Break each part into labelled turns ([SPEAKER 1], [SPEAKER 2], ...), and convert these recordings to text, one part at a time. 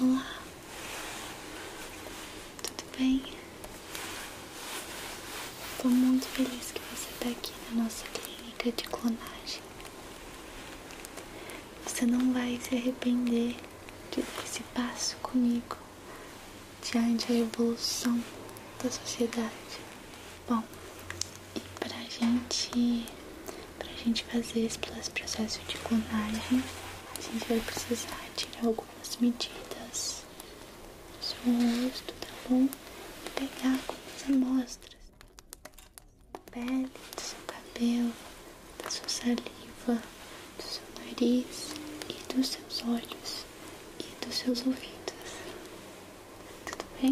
[SPEAKER 1] Olá, tudo bem? Estou muito feliz que você está aqui na nossa clínica de clonagem. Você não vai se arrepender de dar esse passo comigo diante da evolução da sociedade. Bom, e pra gente, pra gente fazer esse processo de clonagem, a gente vai precisar tirar algumas medidas do seu rosto, tá bom? E pegar algumas amostras da pele, do seu cabelo da sua saliva, do seu nariz e dos seus olhos e dos seus ouvidos. Tudo bem?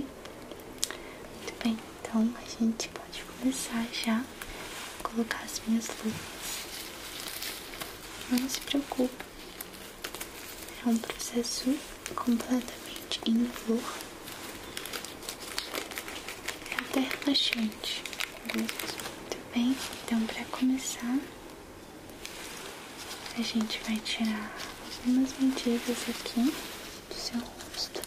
[SPEAKER 1] Muito bem, então a gente pode começar já a colocar as minhas luvas. Não se preocupe, é um processo completamente indolor. É até relaxante parte. Muito bem, então para começar, a gente vai tirar algumas mentiras aqui do seu rosto.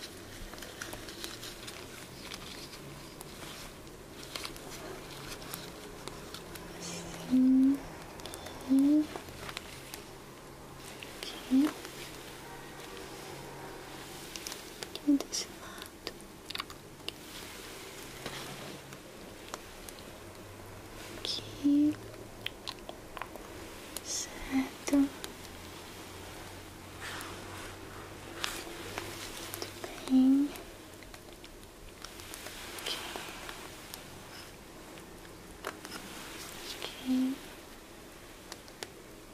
[SPEAKER 1] Assim. E aqui. Aqui desse lado. Aqui, certo? Muito bem. Aqui. Aqui.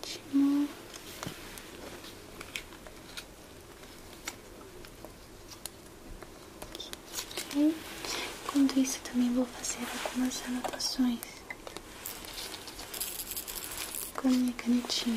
[SPEAKER 1] ótimo. Ok. Enquanto isso, também vou fazer algumas anotações com minha canetinha.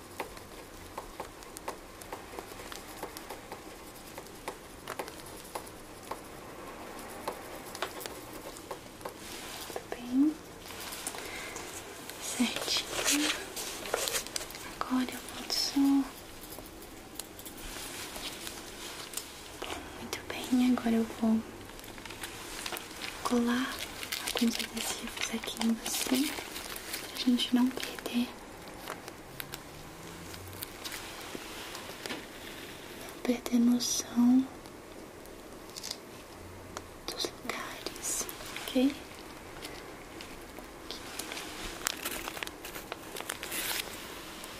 [SPEAKER 1] Muito bem, certinho. Agora eu posso. Muito bem, agora eu vou colar alguns adesivos aqui em você a gente não perder. Não perder noção dos lugares, ok?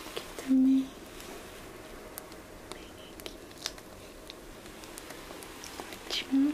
[SPEAKER 1] Aqui também. Bem aqui. Ótimo.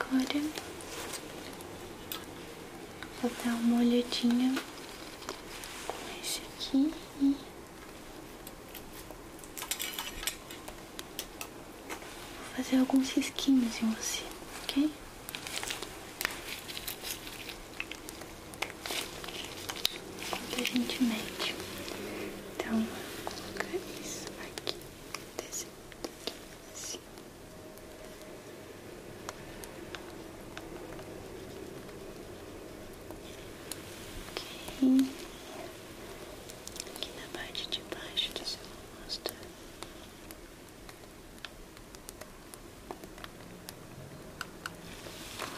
[SPEAKER 1] Agora vou dar uma olhadinha com esse aqui e vou fazer alguns risquinhos em você, ok? gentilmente. Então, vou colocar isso aqui desse 15, Ok. Aqui na parte de baixo do seu rosto.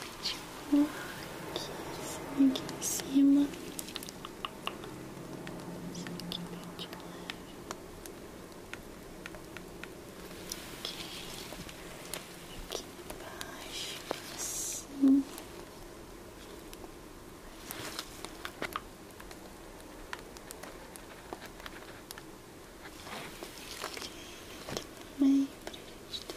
[SPEAKER 1] Ótimo. Aqui, aqui em cima. Isso aqui bem de leve. Ok. Aqui embaixo, assim. Aqui pra gente ter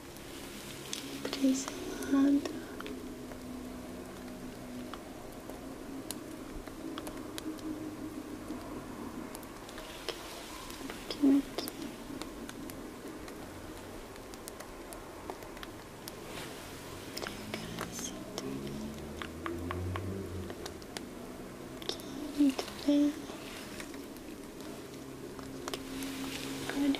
[SPEAKER 1] para esse lado. Aqui, um pouquinho aqui. Assim aqui, muito bem. Agora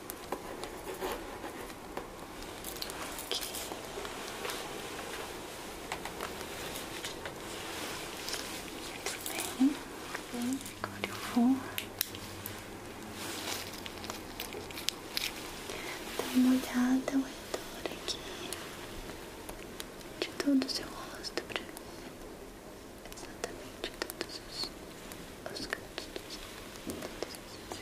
[SPEAKER 1] Aqui. Muito bem, agora eu vou dar uma olhada ao redor aqui de todo o seu rosto pra ver exatamente todos os, os cantos dos seus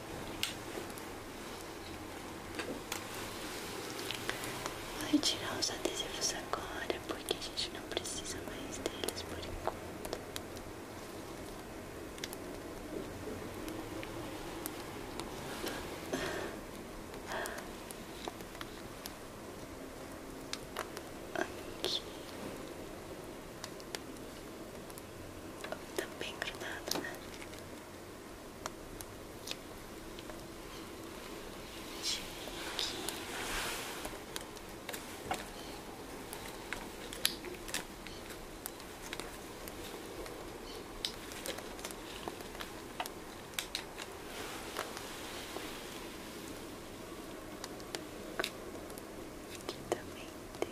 [SPEAKER 1] Vou tirar os adesivos agora, porque a gente não precisa mais deles por enquanto. Ah. Aqui também tá bem grudado, né? Tira Aqui também tem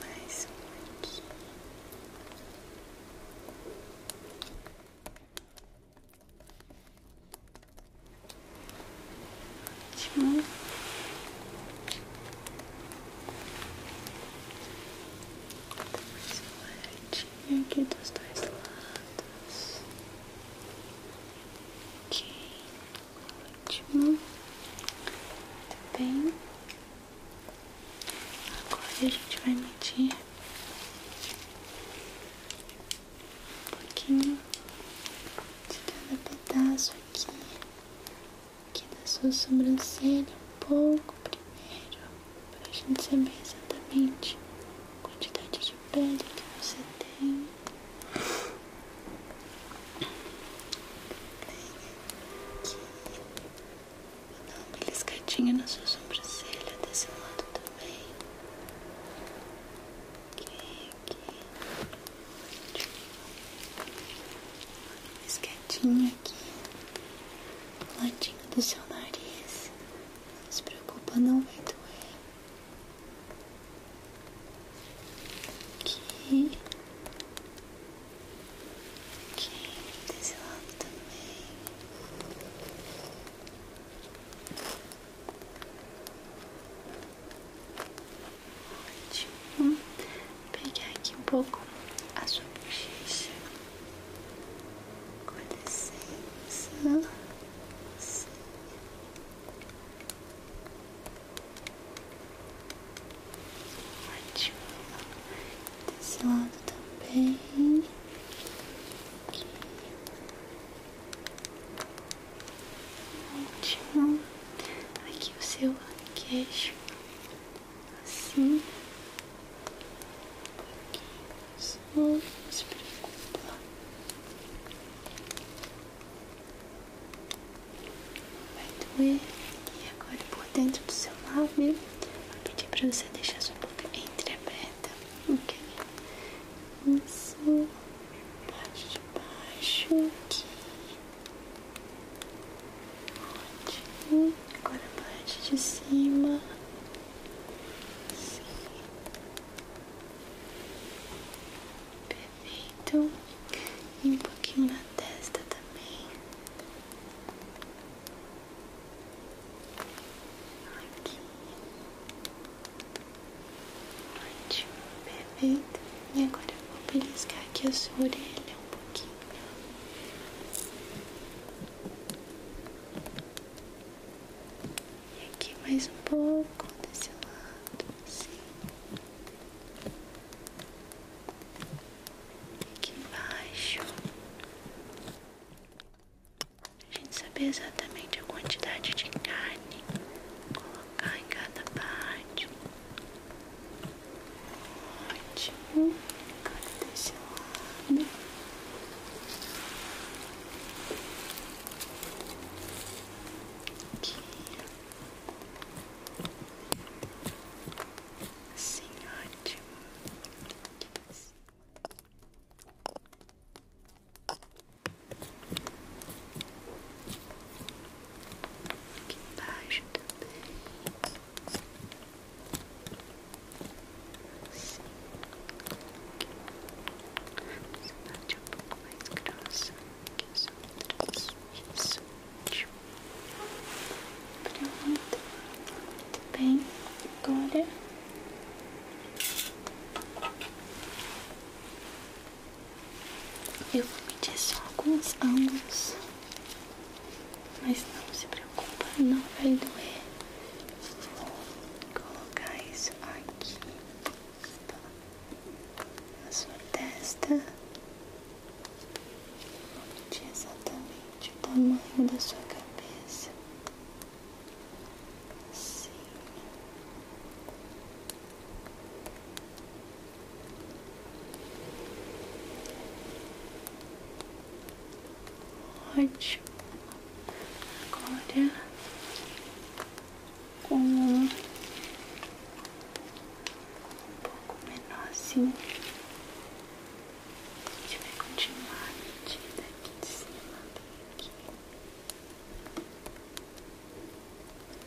[SPEAKER 1] Mais um aqui. Ótimo. Tem um aqui dos dois lados. Ok. Muito tá bem. Agora a gente vai medir um pouquinho de cada pedaço aqui, aqui da sua sobrancelha, um pouco primeiro, para a gente saber exatamente a quantidade de pele que você tem. Vou dar uma beliscadinha na sua sobrancelha desse lado também. Aqui, aqui. Beliscadinha aqui. Do ladinho do seu nariz. Não se preocupa, não vai doer. Aqui. Ok, desse lado também. Ótimo. Vou pegar aqui um pouco a sua bochecha. Com licença. Sim. Ótimo. Desse lado também. Aqui. Ótimo. Aqui o seu queixo. Assim. Aqui os olhos. Não vai doer e agora por dentro do seu lábio vou pedir pra você deixar sua boca entreaberta, ok? Isso, parte de baixo aqui Ótimo, agora a parte de cima Sim momento e um pouquinho na testa também. Aqui. Ótimo, perfeito. E agora eu vou beliscar aqui a sua orelha um pouquinho. E aqui mais um pouco desse lado, sim aqui embaixo, a gente saber exatamente a quantidade de carne colocar em cada parte. Ótimo, agora desse lado. Aqui. Sim, ótimo. Sim. Aqui embaixo também. Sim. Você bate é um pouco mais grossa que as outras. Isso. Pronto. Muito bem. Agora. Eu vou medir só alguns ângulos. Mas não se preocupa, não vai doer. Vou colocar isso aqui. Tá? Na sua testa de exatamente o tamanho da sua cabeça. Sim. Ótimo. Agora com um assim. pouco menorzinho. A gente vai continuar a medida aqui de cima, bem aqui.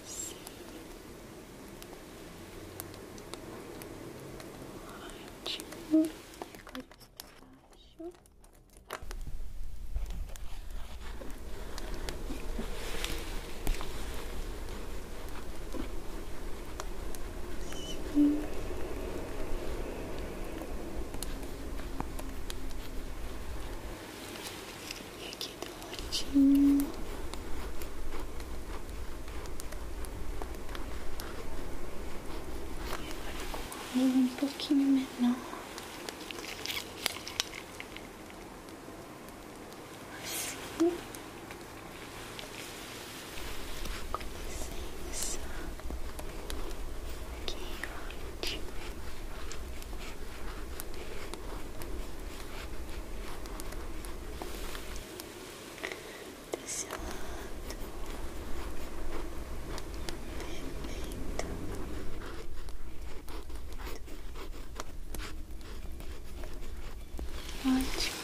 [SPEAKER 1] Assim. Ótimo. E agora isso Aqui Sim. E aqui do ladinho. E agora com a um pouquinho menor assim, com licença, que ótimo. Desse lado, perfeito. Ótimo.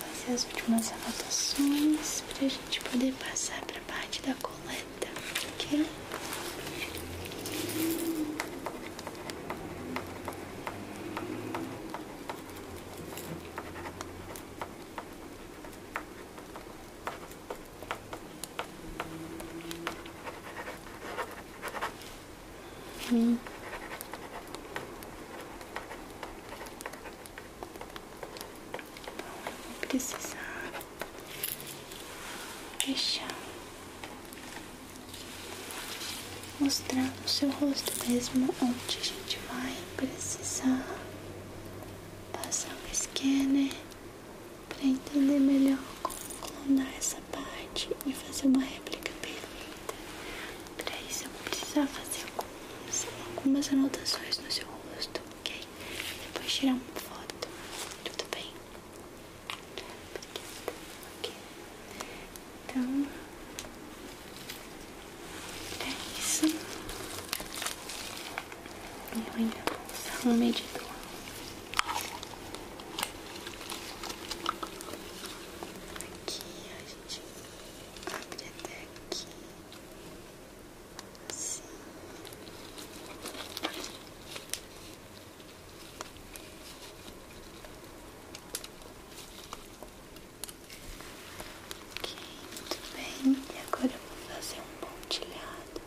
[SPEAKER 1] Fazer as últimas anotações para a gente poder passar para a parte da coleta, ok? Hum. Vou precisar deixar mostrar no seu rosto mesmo onde a gente vai precisar passar um scanner para entender melhor como colunar essa parte e fazer uma réplica perfeita. Para isso eu vou precisar fazer algumas, anotações no seu rosto, ok? Depois tirar uma foto, tudo bem? Ok. Então é isso. Eu ainda vou usar um medidor. Aqui a gente abre até aqui, assim. muito bem. E agora eu vou fazer um pontilhado.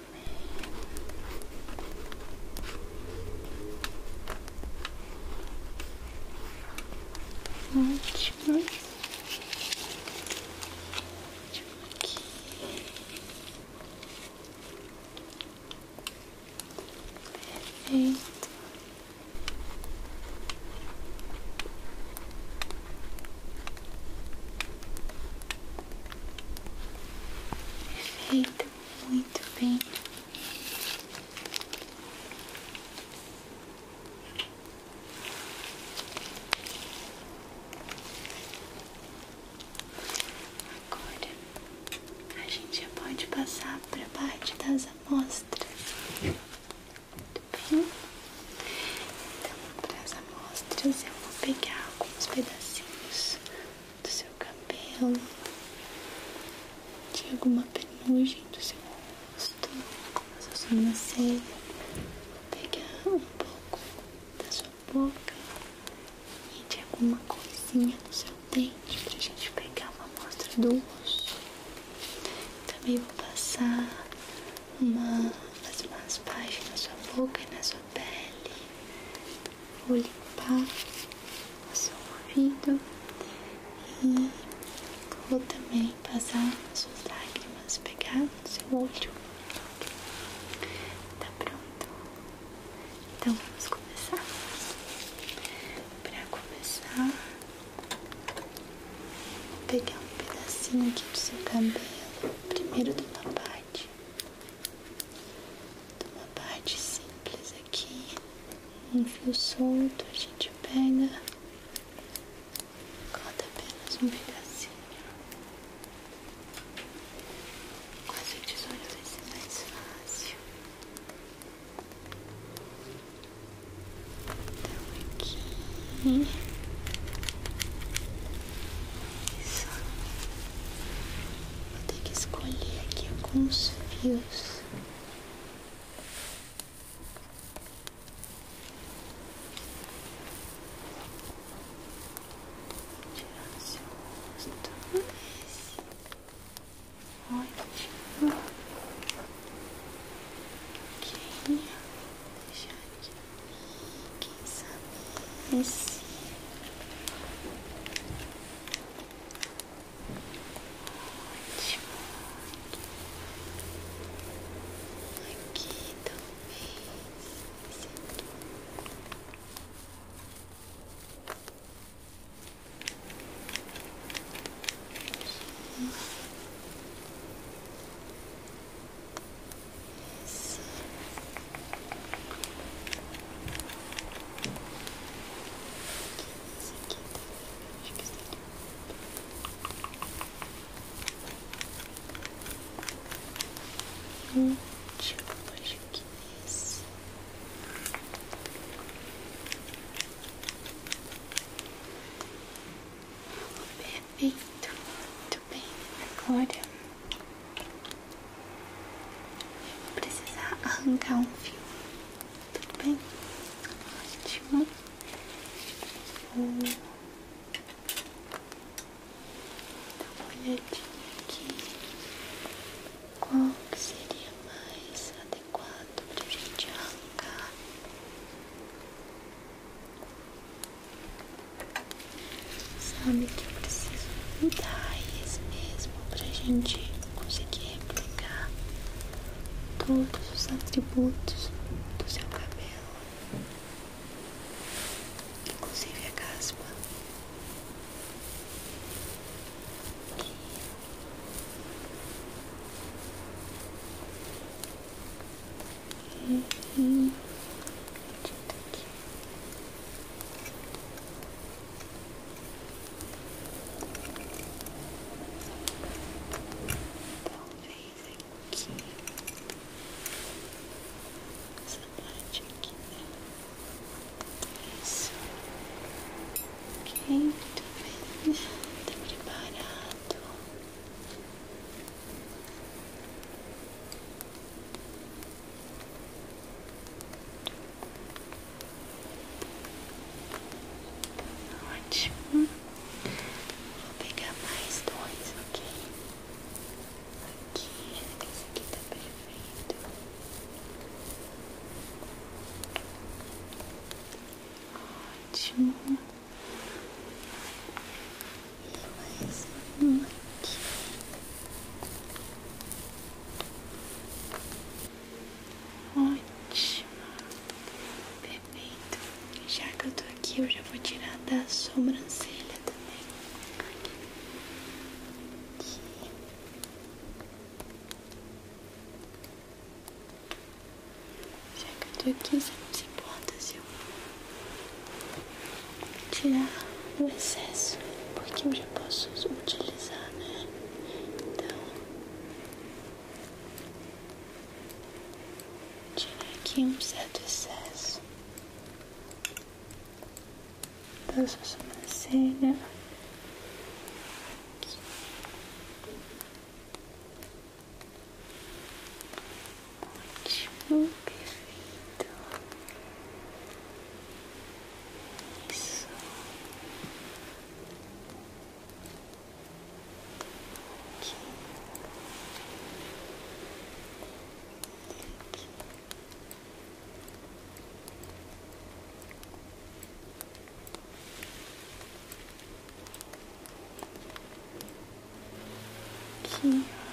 [SPEAKER 1] também. Ótimo. Ótimo aqui. Perfeito. Perfeito. Muito, bem. Agora a gente já pode passar para a parte das amostras. Muito bem. Então, para as amostras, eu vou pegar alguns pedacinhos do seu cabelo, de alguma penugem do seu rosto, da sua sobrancelha. Pegar um pouco da sua boca e de alguma coisinha do seu dente para a gente pegar uma amostra do osso. Também vou passar uma, fazer umas páginas na sua boca e na sua pele. Vou limpar o seu ouvido e vou também passar suas lágrimas, pegar no seu olho. Tá pronto? Então vamos começar. Para começar, vou pegar um pedacinho aqui do seu cabelo, primeiro de uma parte uma parte simples aqui, um fio solto, a gente pega, corta apenas um pedacinho. quase essa tesoura vai ser mais fácil. Então, aqui. Isso. Vou ter que escolher aqui alguns fios. Tirar seu rosto. Ótimo. Ok. Deixar aqui. Quem sabe esse. Ótimo. Aqui também. Esse aqui. Aqui. Esse. Hum, deixa eu puxar aqui nesse. Perfeito, muito bem. Agora Vou precisar arrancar um fio, tudo bem? Ótimo. Vou dar uma olhadinha aqui. Qual seria mais adequado pra gente arrancar? Sabe preciso mudar a raiz mesmo pra gente conseguir replicar todos os atributos do seu cabelo, inclusive a caspa. Talvez aqui. Essa parte aqui, né? Isso. Ok, muito bem. Tá preparado. Ótimo. Vou pegar mais dois, ok? Aqui, esse aqui tá perfeito. Ótimo. E mais um aqui. Ótimo. Perfeito. Já que eu tô aqui, eu já vou tirar da sobrancelha também. Aqui. Já que eu tô aqui, você não se importa se eu tirar o excesso, porque eu já posso utilizar, né? Então, tirar aqui um certo excesso da então, sua sobrancelha. Aqui. Ótimo, perfeito. Isso. Aqui. Aqui. Que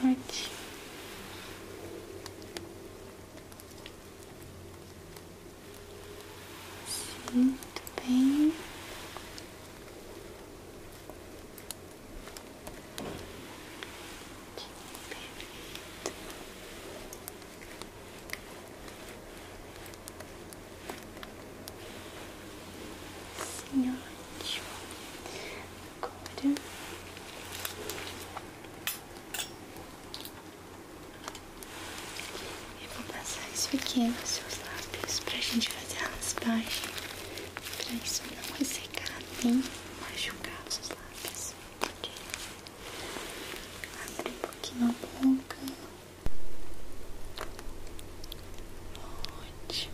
[SPEAKER 1] ótimo. Muito bem. Perfeito. Sim, ótimo. Agora eu vou passar isso aqui nos seus lábios pra gente fazer a raspagem. Pra isso não ressecar nem machucar os seus lábios. Abre um pouquinho a boca. Ótimo.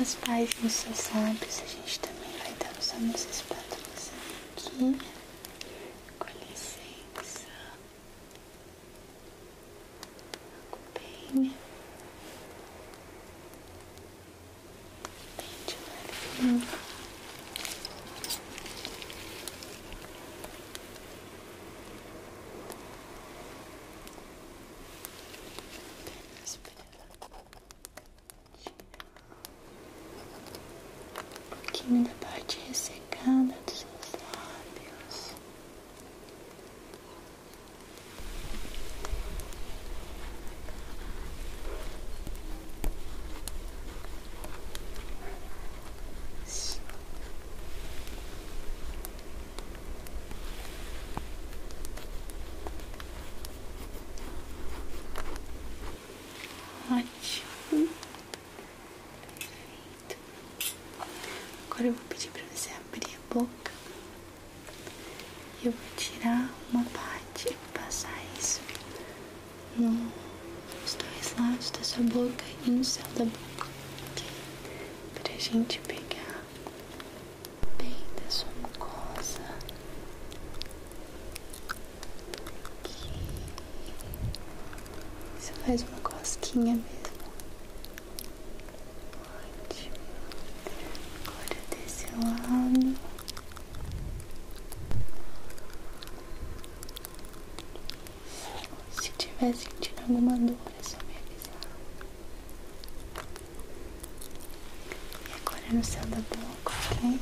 [SPEAKER 1] As páginas dos lábios, a gente também vai dar os os espátulas aqui. Com licença. Bem. Bem devagarinho. Apenas pela um pouquinho da parte ressecada dos seus lábios. Ótimo. Perfeito. Agora eu vou pedir para você abrir a boca. E eu vou tirar uma parte e passar isso no, nos dois lados da sua boca e no céu da boca, para a gente pegar bem da sua mucosa. Aqui. Você faz uma cosquinha mesmo. Ótimo. Agora desse lado. Se tiver sentindo alguma dor, é só me avisar. E agora no céu da boca, ok?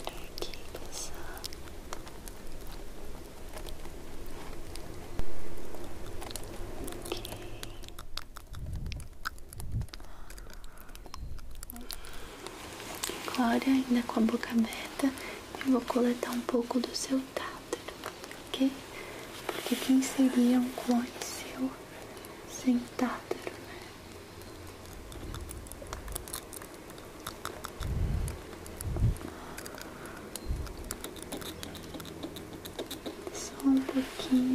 [SPEAKER 1] Entra aqui e passar. Ok. Agora, ainda com a boca aberta, eu vou coletar um pouco do seu tártaro, ok? Porque quem seria um clone seu sem tártaro, né? Só um pouquinho.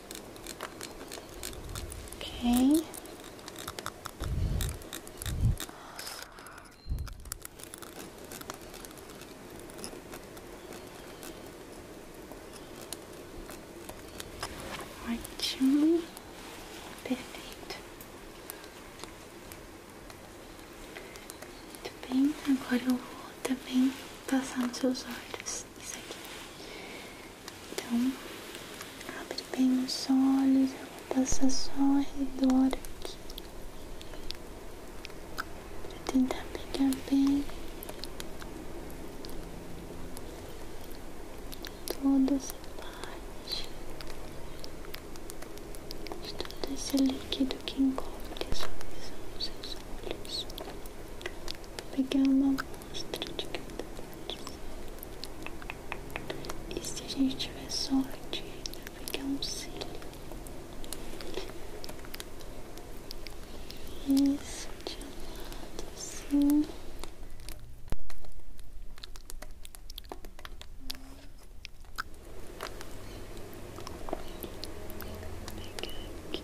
[SPEAKER 1] Ok. Ótimo. Perfeito. Muito bem, agora eu vou também passar nos seus olhos. Isso aqui. Então, abre bem os olhos, eu vou passar só ao redor aqui. Pra tentar pegar bem toda essa parte de todo esse líquido que encobre essa visão nos seus olhos. Vou pegar uma amostra de cada parte. E se a gente tiver sorte, vai pegar um cílio. esse de lado assim. pegar aqui.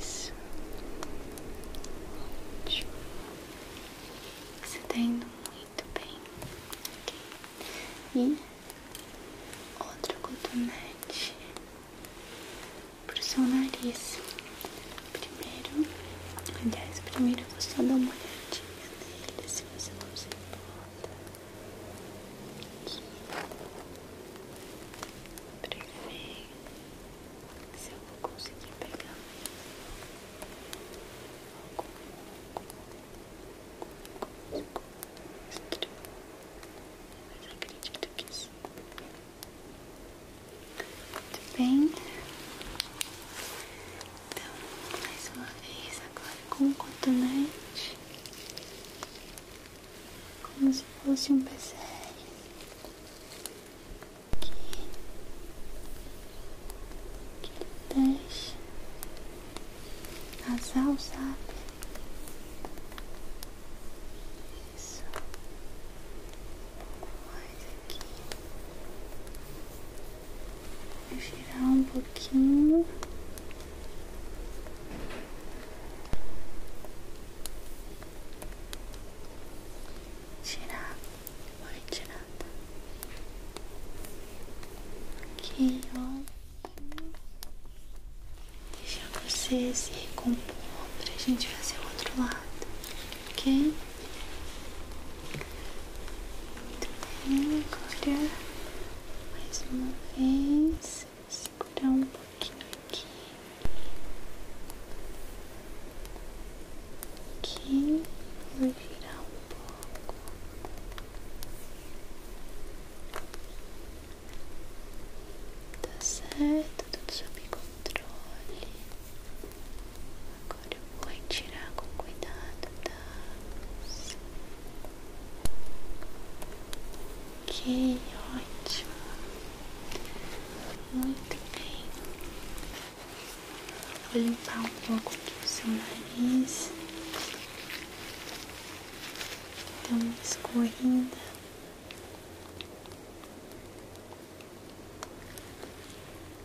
[SPEAKER 1] Isso. Ótimo. Você tá indo muito bem. Okay. E outro cotonete pro seu nariz. Primeiro, aliás, primeiro eu vou só dar uma olhadinha nele, se você não se importa. Aqui. Perfeito se eu vou conseguir pegar algum monstro, mas acredito que sim. Muito bem, então mais uma vez agora com o cotonete como se fosse um PCR que, que deixa nasal, sabe? Isso, um pouco mais aqui, vou girar um pouquinho tirar vou retirada aqui, ó. Deixar você se recompor pra gente fazer o outro lado, ok? Muito bem, agora mais uma vez, segurar um pouco aqui, aqui, aqui, vou virar um pouco. Tá certo, tudo sob controle. Agora eu vou retirar com cuidado, tá? Que ótimo. Muito bem. Vou limpar um pouco aqui o seu nariz. Dá uma escorrida.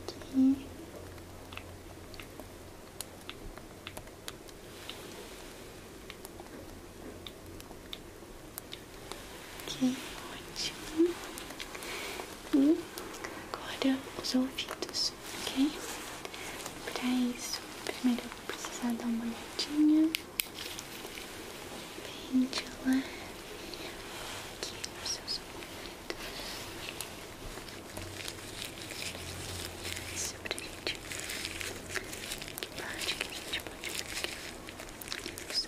[SPEAKER 1] Aqui que ótimo. E agora os ouvidos, ok? Para isso, primeiro eu vou precisar dar uma olhadinha. Bem de aqui os seus ouvidos. Isso pra gente. Que parte que a gente pode pegar? Isso.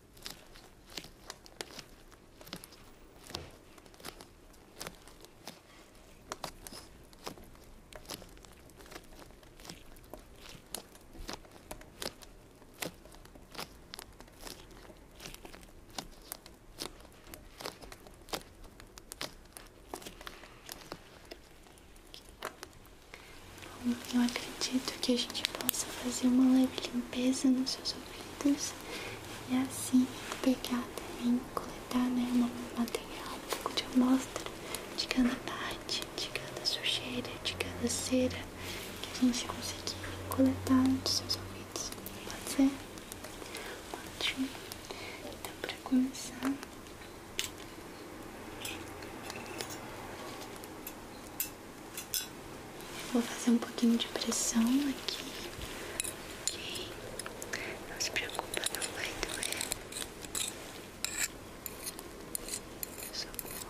[SPEAKER 1] não acredito que a gente possa fazer uma leve limpeza nos seus sofridas e é assim pegar também, coletar né, um material, um pouco de amostra de cada parte, de cada sujeira, de cada cera que a gente conseguir coletar dos seus ouvidos. Pode ser? Ótimo. Então, para começar. Vou fazer um pouquinho de pressão aqui. Ok. Não se preocupa, não vai doer. Socorro.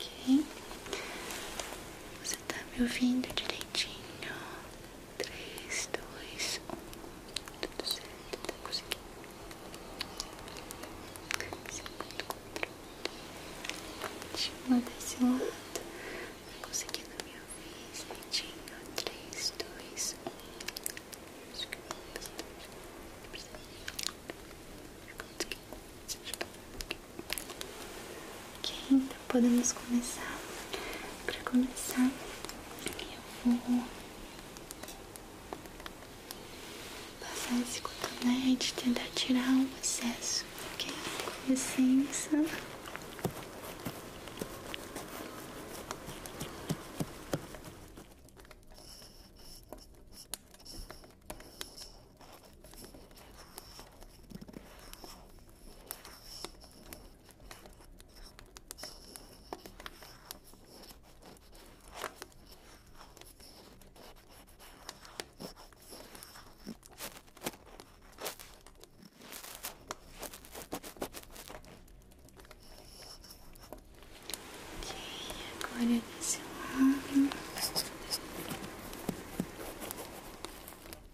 [SPEAKER 1] Ok, você está me ouvindo direitinho? 3, 2, 1, tudo certo, tá conseguindo. Segundo controle. Última desse lado. Tá conseguindo minha vez, mentinho. 3, 2, 1. Acho que eu bastante. Consegui. Ok. Então, podemos começar. Para começar, eu vou passar esse cotonete, tentar tirar o excesso, ok? Com licença agora desse lado.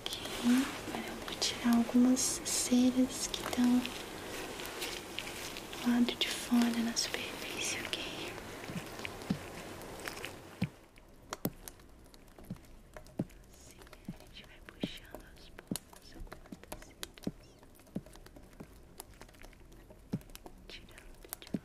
[SPEAKER 1] Ok, agora eu vou tirar algumas ceras que estão do lado de fora na superfície, ok? a gente vai puxando aos poucos algumas ceras. Tirando de leve.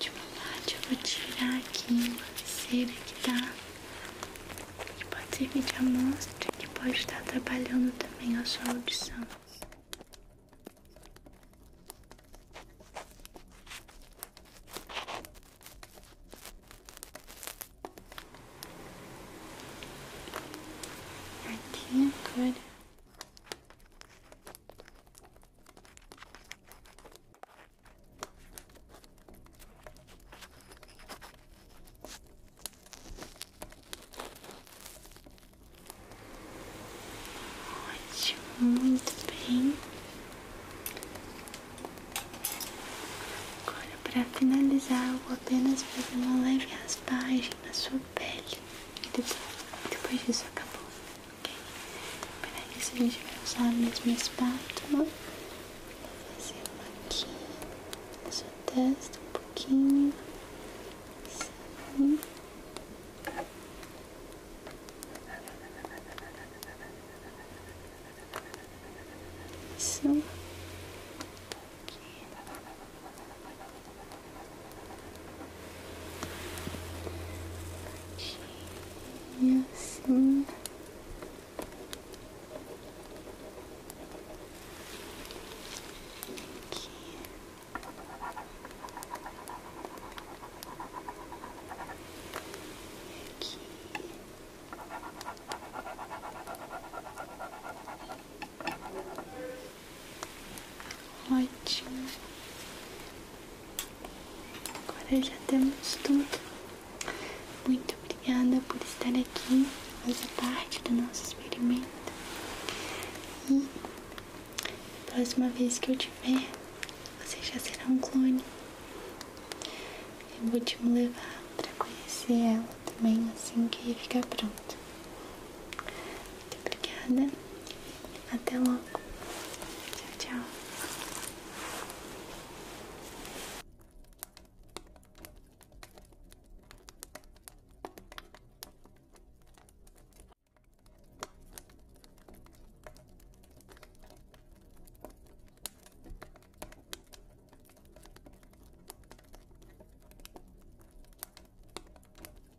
[SPEAKER 1] De uma eu vou tirar aqui uma cera que tá que pode servir de amostra que pode estar trabalhando também a sua audição. Aqui agora Ótimo, muito bem. Agora, para finalizar, vou apenas fazer uma leve raspagem na sua pele depois, depois disso acabou, ok? Para isso a gente vai usar a mesma espátula. Vou fazer aqui na sua testa um pouquinho. Isso. Aqui. E assim. Aqui. Aqui. Ótimo. Agora já temos tudo. Muito obrigada por estar aqui, fazer parte do nosso experimento. E próxima vez que eu tiver, você já será um clone. Eu vou te levar para conhecer ela também assim que ficar pronto. Muito obrigada. then. logo. Tchau, tchau.